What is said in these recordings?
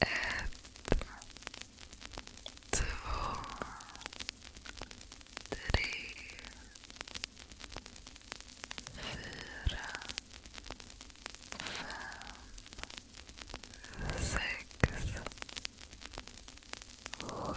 Ett, två, tre, fyra, fem, sex, sju, åtta,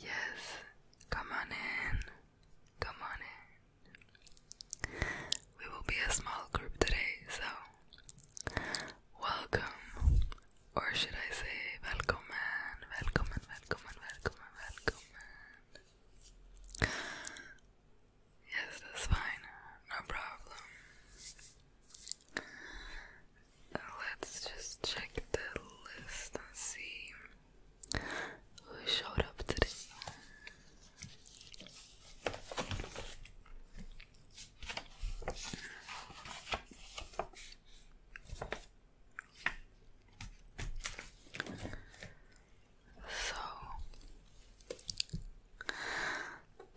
Yes, come on in. Come on in. We will be a small group today, so welcome, or should I say welcome välkommen, welcome välkommen, welcome? Yes, that's fine. No problem. Let's just check the list and see who showed up today. So,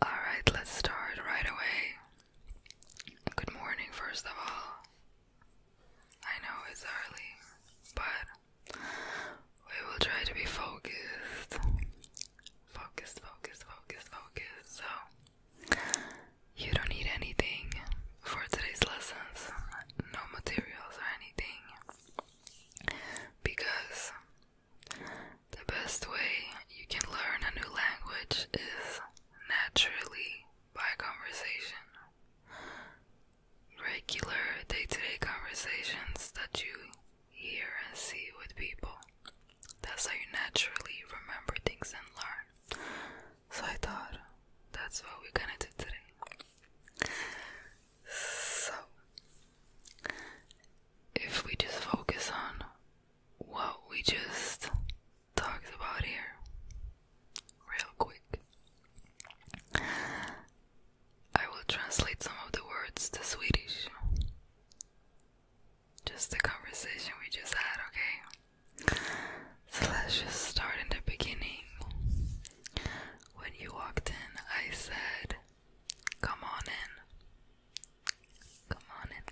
all right, let's start right away. Good morning, first of all. I know it's early, but we will try to be focused. Focused, focused, focused, focused. So, you don't need anything for today's lessons, no materials or anything, because the best way you can learn a new language is naturally by conversation. Regular day to day conversations that you hear and see with people. That's how you naturally remember things and learn. So I thought that's what we're gonna do today. So, if we just focus on what we just talked about here, real quick, I will translate some of the words to Swedish just the conversation we just had, okay? So let's just start in the beginning. When you walked in, I said, Come on in. Come on in,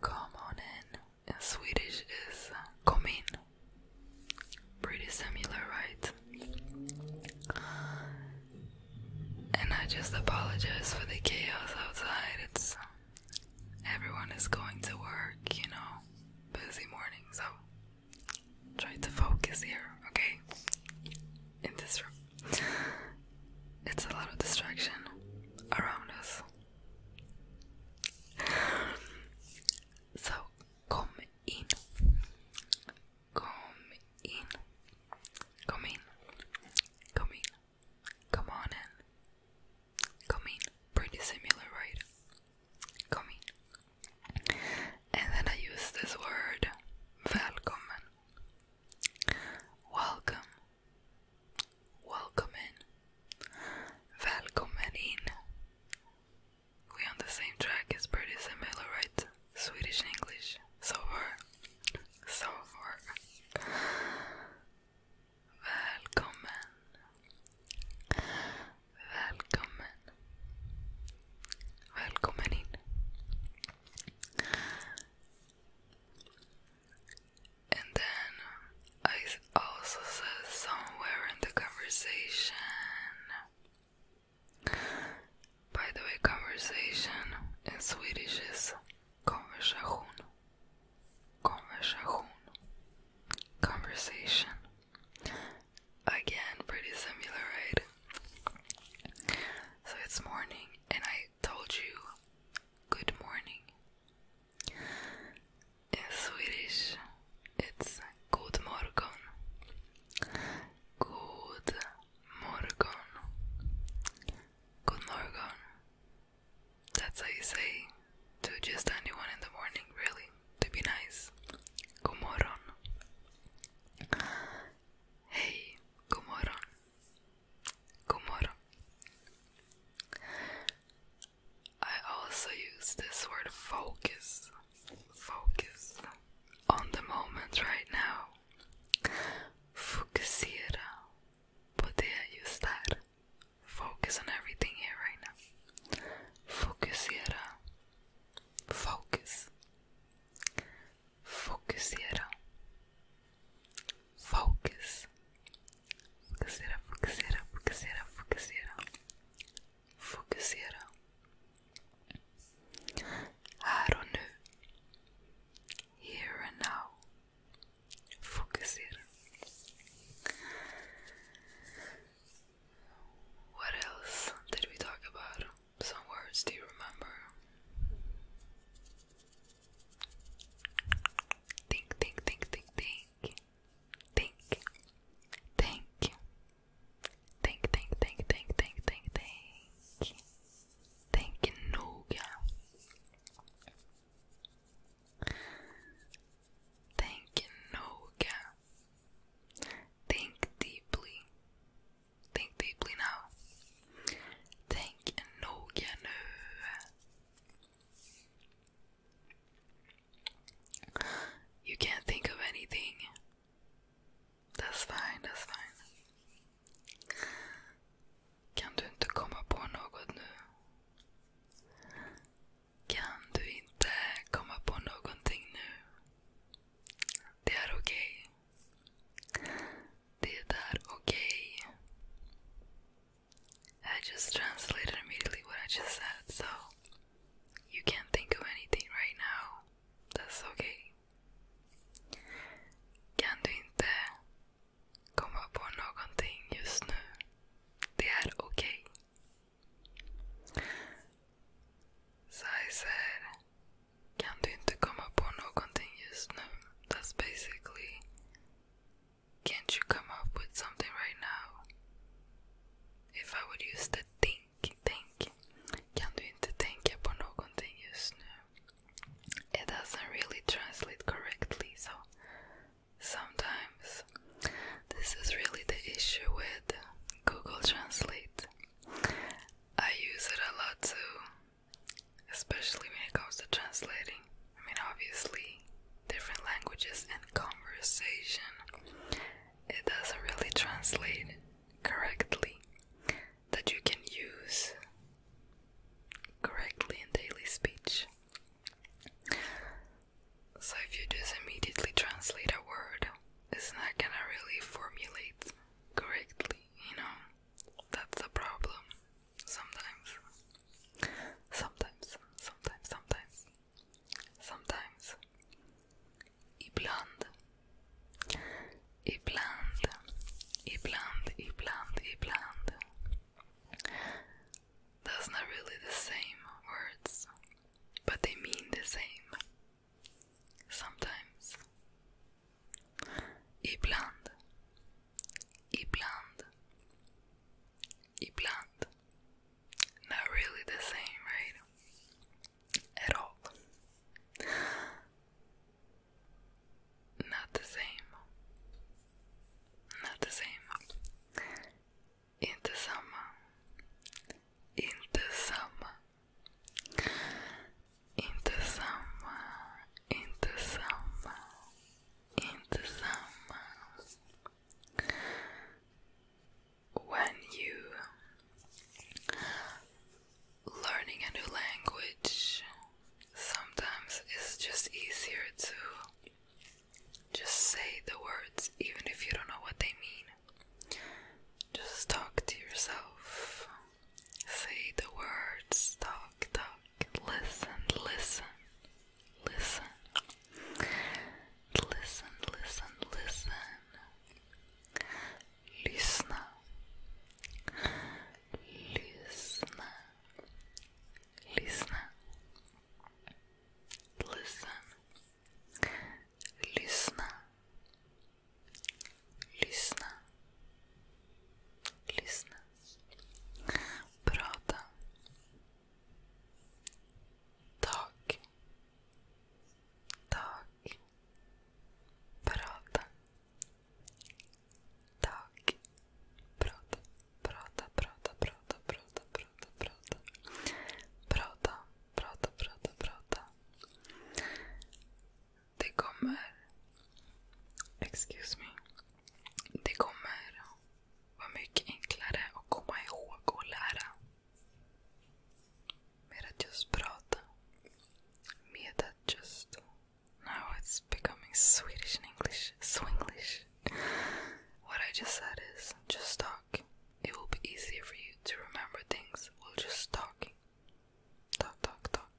come on in. Come Swedish is kom in. Pretty similar, right? And I just apologize for the chaos outside. It's everyone is going to work, you know, busy morning, so try to focus here, okay? In this room. It's a lot of distraction around us. So, come in. Come in. Come in. Come in. Come on in. Come in. Pretty similar, right? Come in. And then I use this word, välkommen. Welcome. Welcome in. Välkommen in. We on the same track. It's pretty similar, right? Swedish English. So far sommar. Välkommen. Välkommen. Välkommen in. And then I also said somewhere in the conversation. By the way, conversation in Swedish is Conversation. Conversation. Conversation. Again, pretty similar, right? So it's morning, and I told you good morning. In Swedish, it's good morgon. Good morgon. Good morgon. That's how you say to just anyone in the morning, really, to be nice. Good morgon. Hey, good morgon. Good morgon. I also use this word focus. Focus on the moment right now. Fokusera. Poder ajustar. Focus on everything here right now. Fokusera. Focus. Fokusera. Focus. Fokusera, fokusera, fokusera, fokusera. Fokusera. Här och nu here and now. Focusir. What else did we talk about? Some words, do you remember? Think, think, think, think, think. Think. Think. Think, think, think, think, think, think, think. Tänk noga. Tänk noga. Think deeply. Think deeply now. Tänk noga nu. You can't think of anything. That's fine, that's fine. Kan du inte komma på något nu? Kan du inte komma på någonting nu? Det är okej. Okay. Det är Okay. I just translated immediately what I just said, so you can't think of anything right now. That's okay. Kan du inte komma på någonting just nu? Det är okej. Okay. Sizer, kan du inte komma på någonting just nu? That's basically, can't you come up with something right now? If I would use the think, think. Kan du inte tänka på någonting just nu? it doesn't really translate correctly, so sometimes this is really the issue with Google Translate. I use it a lot too, especially when it comes to translating. I mean, obviously, different languages and conversation, it doesn't really translate correctly that you can use correctly in daily speech. So, if you just immediately translate a word, it's not gonna really formulate correctly, you know? That's the problem sometimes. Sometimes, sometimes, sometimes. Sometimes. Ibland Ibland, ibland, ibland, ibland. That's not really the same words, but they mean the same. Sometimes. Ibland, ibland, ibland. Not really the same, right? at all. Not the same. Not the same. In the summer. In the summer. In the summer. In the summer. In the summer. When you learning a new language sometimes it's just easier to just say the words even if you don't know what they mean. Just talk to yourself. Say the words, talk, talk, listen, listen, listen, listen, listen, listen. Lyssna. Lyssna. Lyssna. Listen. Lyssna. Lyssna. Lyssna. Prata. Tak. Tak. Prata. Dag. prata, prata, prata, prata, prata, prata. Prata, prata, prata, prata. Det kommer... Excuse me. Det kommer vara mycket enklare att komma ihåg och lära. Made it just prata. Made Now it's becoming Swedish and English. Swinglish. what I just said is just talk. It will be easier for you to remember things. We'll just talk. Talk, talk, talk.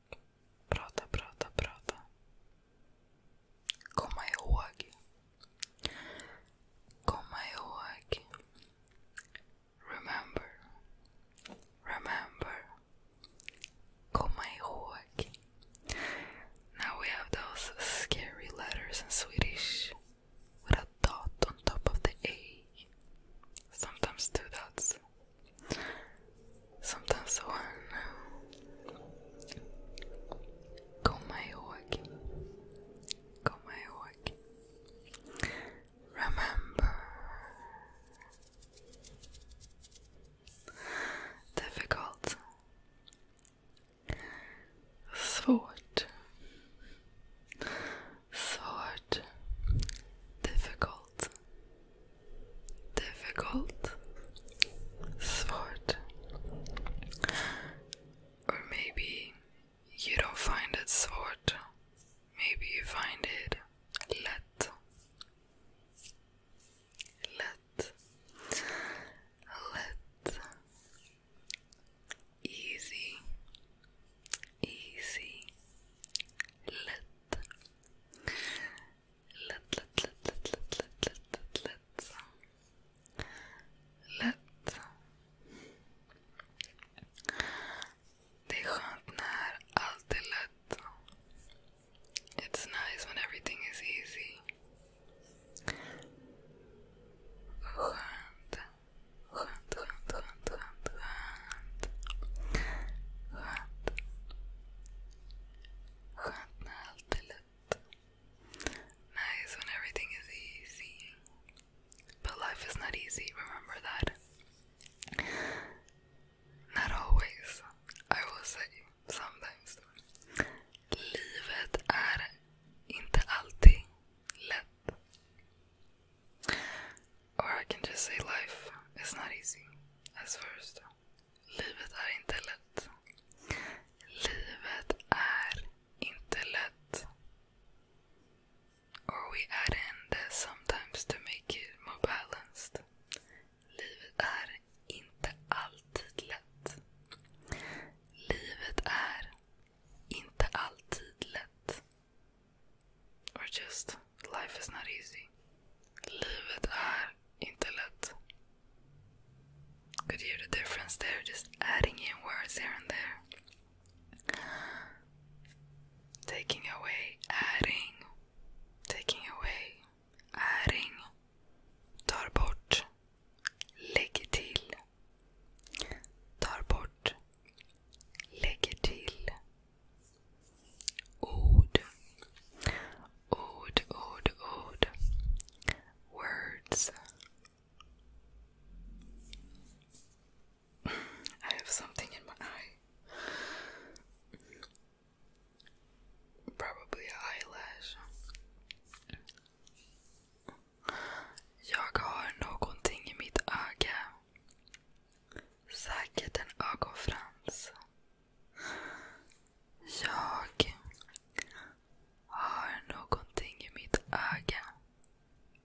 Prata, prata, prata. Komma ihåg. Komma ihåg. Remember, remember, komma ihåg. Now we have those scary letters in Swedish with a dot on top of the A. Sometimes two dots, sometimes one. Komma ihåg. Komma ihåg. Remember, difficult, svårt, svårt, difficult, difficult, svårt, or maybe you don't find it sort. Maybe you find it. Let. Let. Let. Easy. Easy. let, let, let, let, let, let, let, let. Let. They hunt naar als It's nice when everything is easy. Hunt, hunt, hunt, hunt, hunt, hunt. Hunt. Hunt naar als Nice when everything is easy. But life is not easy, remember that. Not always, I will say, sometimes. Livet är inte alltid lätt. Or I can just say life is not easy as first. Livet är inte lätt. Livet är inte lätt or we add in this sometimes to make it more balanced. Livet är inte alltid lätt. Livet är inte alltid lätt. Or just, life is not easy. Livet är inte lätt. Could hear the difference there? Just adding in words here and there taking away, adding, taking away, adding, tar bort, lägger till, tar bort, till. Ord, ord, ord, ord. Words. I have something in my eye. Probably an eyelash. Jag har någonting i mitt öga. Säkert en ögonfrans. Jag har ah, någonting i mitt öga.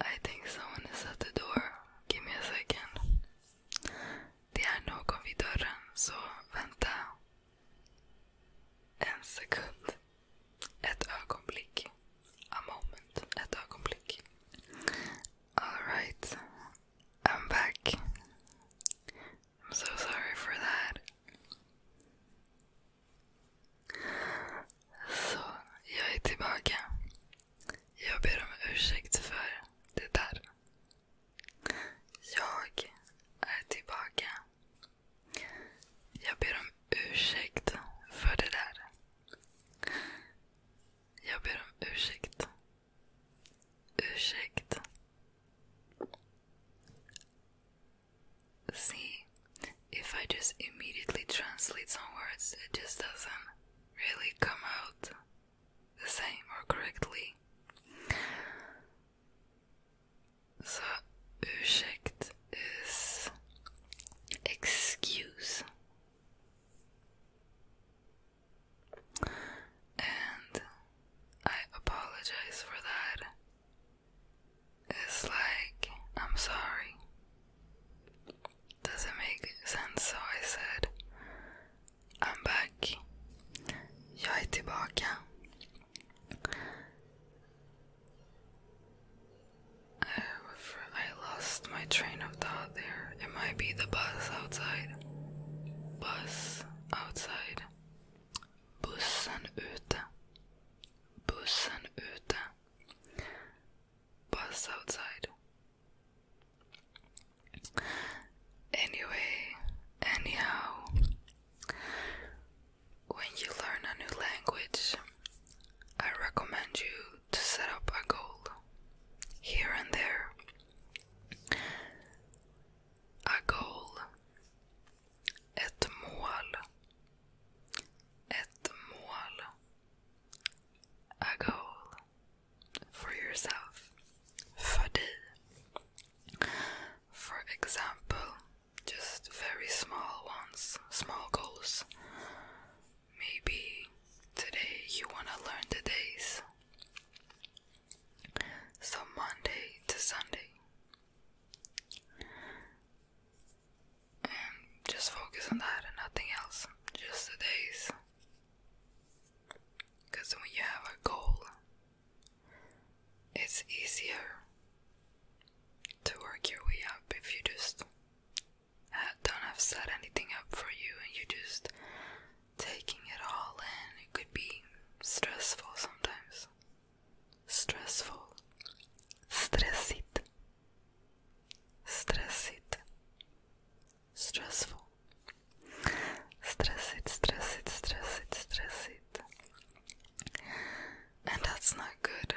I think someone is at the door. Give me a second. Det är någon vid dörren, så vänta. En sekund. A moment. Alright. I'm back. I'm so sorry for that. Så, jag är tillbaka. Jag ber om ursäkt för det där. Jag är tillbaka. Jag ber om ursäkt för det där. Jag ber om ursäkt Ursäkta. See, if I just immediately translate some words, it just doesn't really come out the same or correctly. So, ursäkt is excuse. And I apologize for that. It's like, I'm sorry. Doesn't make sense, so I said, I'm back. Jag är tillbaka. I, I lost my train of thought there. It might be the bus outside. Bus is outside. Bussen ute. Bussen ute. Bus outside. Anyway, anyhow, when you learn a new language, I recommend you to set up a goal here and there a goal. Ett mål. Ett mål. A goal. For yourself. För dig. For example, just very small ones, small goals. Maybe today you want to learn the days. So Monday to Sunday. And just focus on that and nothing else. Just the days. Because when you have a goal, it's easier to work your way up if you just don't have set anything up for you and you just taking it all in, it could be stressful sometimes. Stressful. Stressit. Stressit. Stressful. Stress it, stress it, stress it, stress it. And that's not good.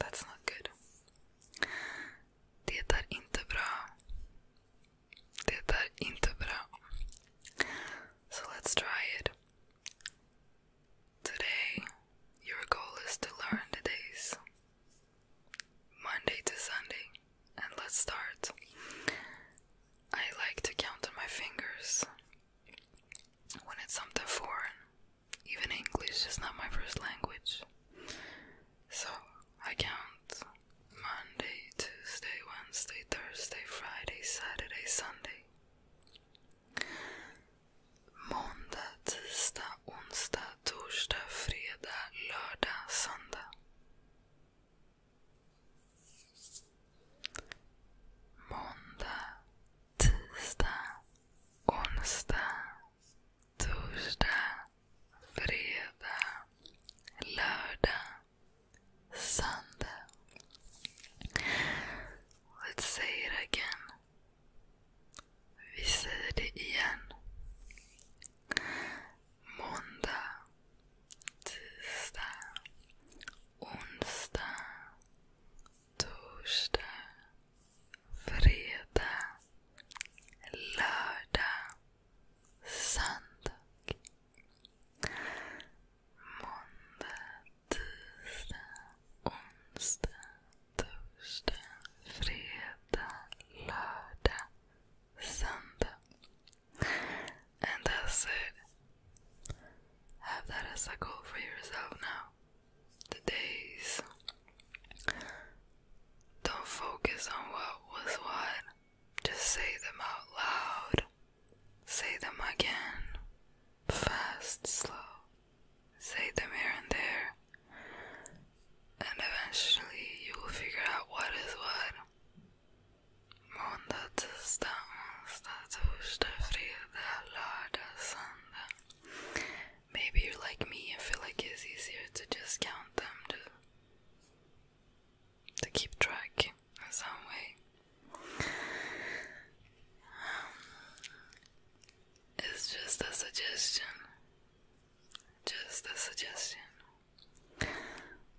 That's not good. Det är inte bra det är inte So let's try it. Today, your goal is to learn the days Monday to Sunday. And let's start. I like to count on my fingers when it's something foreign. Even English is not my first language. So I count Monday, Tuesday, Wednesday, Thursday, Friday, Saturday, Sunday. Måndag, tisdag, onsdag, torsdag, fredag, lördag, söndag. Måndag, tisdag, onsdag, Torsdag, fredag, lördag, söndag. Let's say it again. Vi säger det igen. Måndag, tisdag, onsdag, torsdag, fredag, lördag, Sunday, Monday, Tuesday, Wednesday, Thursday, Friday, Lördag, Sunday. And that's it. Have that as a goal for yourself now. The days don't focus on what was what. Just say them out loud. Say them again. Fast, slow. Say them here and there. And eventually you will figure out what is what. Maybe you're like me and feel like it's easier to just count them to, to keep track in some way. Um, it's just a suggestion. Just a suggestion.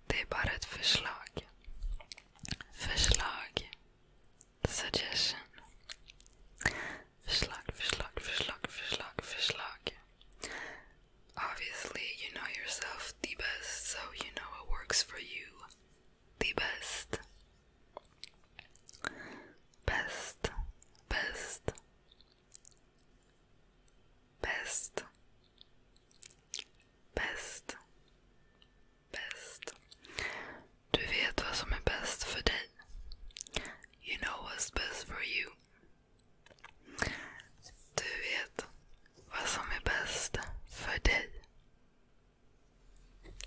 Det är bara ett förslag. Förslag. Suggestion. Verslag, verslag, verslag, verslag, verslag. Obviously, you know yourself the best, so you know what works for you the best. Best, best, best, bäst, bäst. Du vet vad som är bäst för dig. You know what's best for you. Du vet vad som är bäst för dig.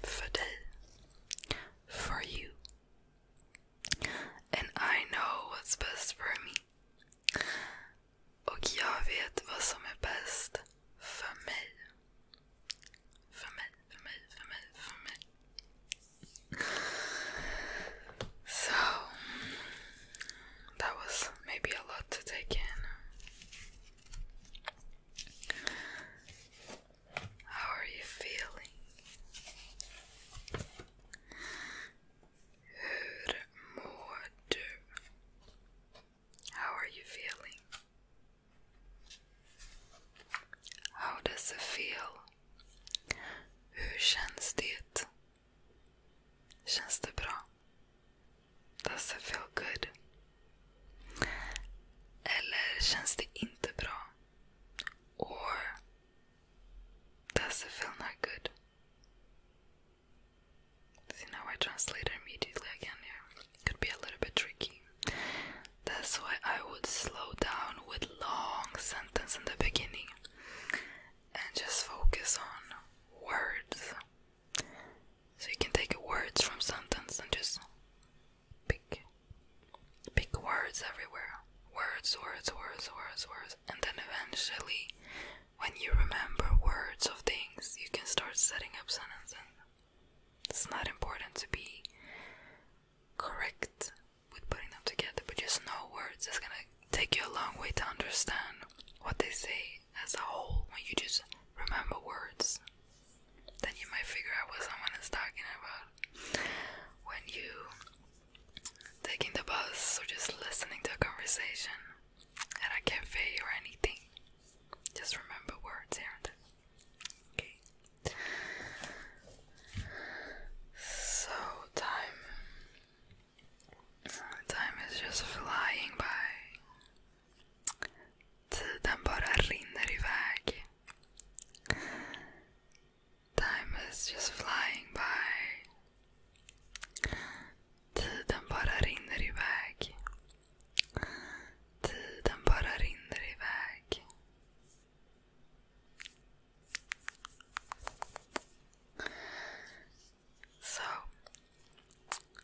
För dig. For you. And I know what's best for me. Och jag vet vad som är bäst för mig. För mig, för mig, för mig, för mig. So that was maybe a lot to take in. How are you feeling? How are you feeling? How does it feel Hur känns det? Känns det bra? Does it feel good? Eller känns det inte bra? Or does it feel not good? See now I translate immediately again here. Could be a little bit tricky. That's why I would slow down with long sentence in the beginning and just focus on words. So you can take words from sentence and just pick pick words everywhere. Words, words, words, words, words. And then eventually when you remember words of things you can start setting up sentences. It's not important to be correct with putting them together, but just no words. It's gonna take you a long way to understand what they say as a whole when you just remember words. Then you might figure out what someone is talking about when you taking the bus or just listening to a conversation and I at a cafe or anything. Just remember words here and there. Okay. So time time is just flying by. Den bara rinner iväg. Time is just flying by. Tiden bara rinner iväg. Tiden bara rinner iväg. So,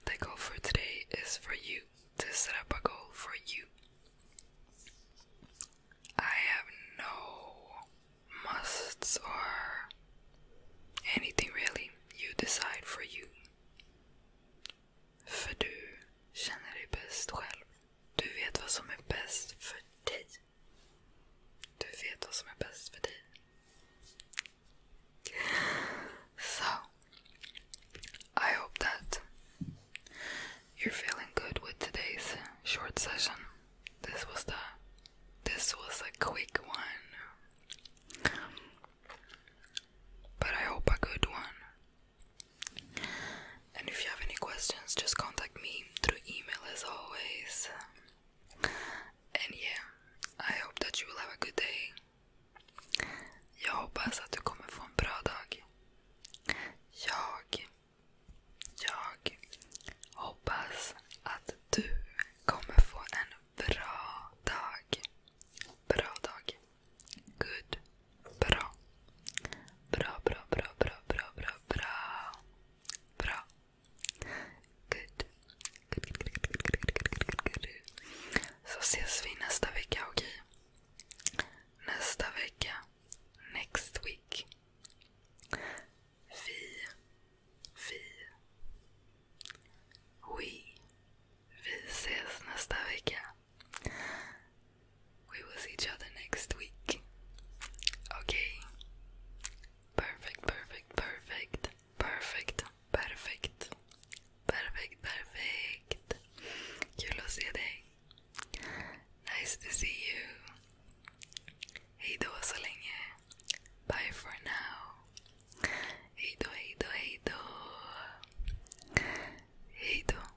the goal for today is for you to set up a goal for you. I have no musts or anything really. You decide for you. För du känner dig Du vet vad som är bäst för dig. Du vet vad som är bäst So, I hope that you're feeling good with today's short session. This was the this was a quick one. But I hope a good one. And if you have any questions, just contact me through email as always. And yeah, I hope that you will have a good day. Jag hoppas att du kommer få en bra dag. Jag, jag hoppas att du kommer få en bra dag. Bra dag. Good. Bra. Bra, bra, bra, bra, bra, bra, bra. Bra. Good. Good, Så ses vi nästa vecka, okej? Nästa vecka. Next week. Vi. Vi. We. Vi ses nästa vecka. We will see each other next week. Okay. Perfect, perfect, perfect, perfect, perfect, perfect, perfect. You lost your day. Nice to see you. Hej då Bye for now. Hej då, hej då, hej då. Hej då.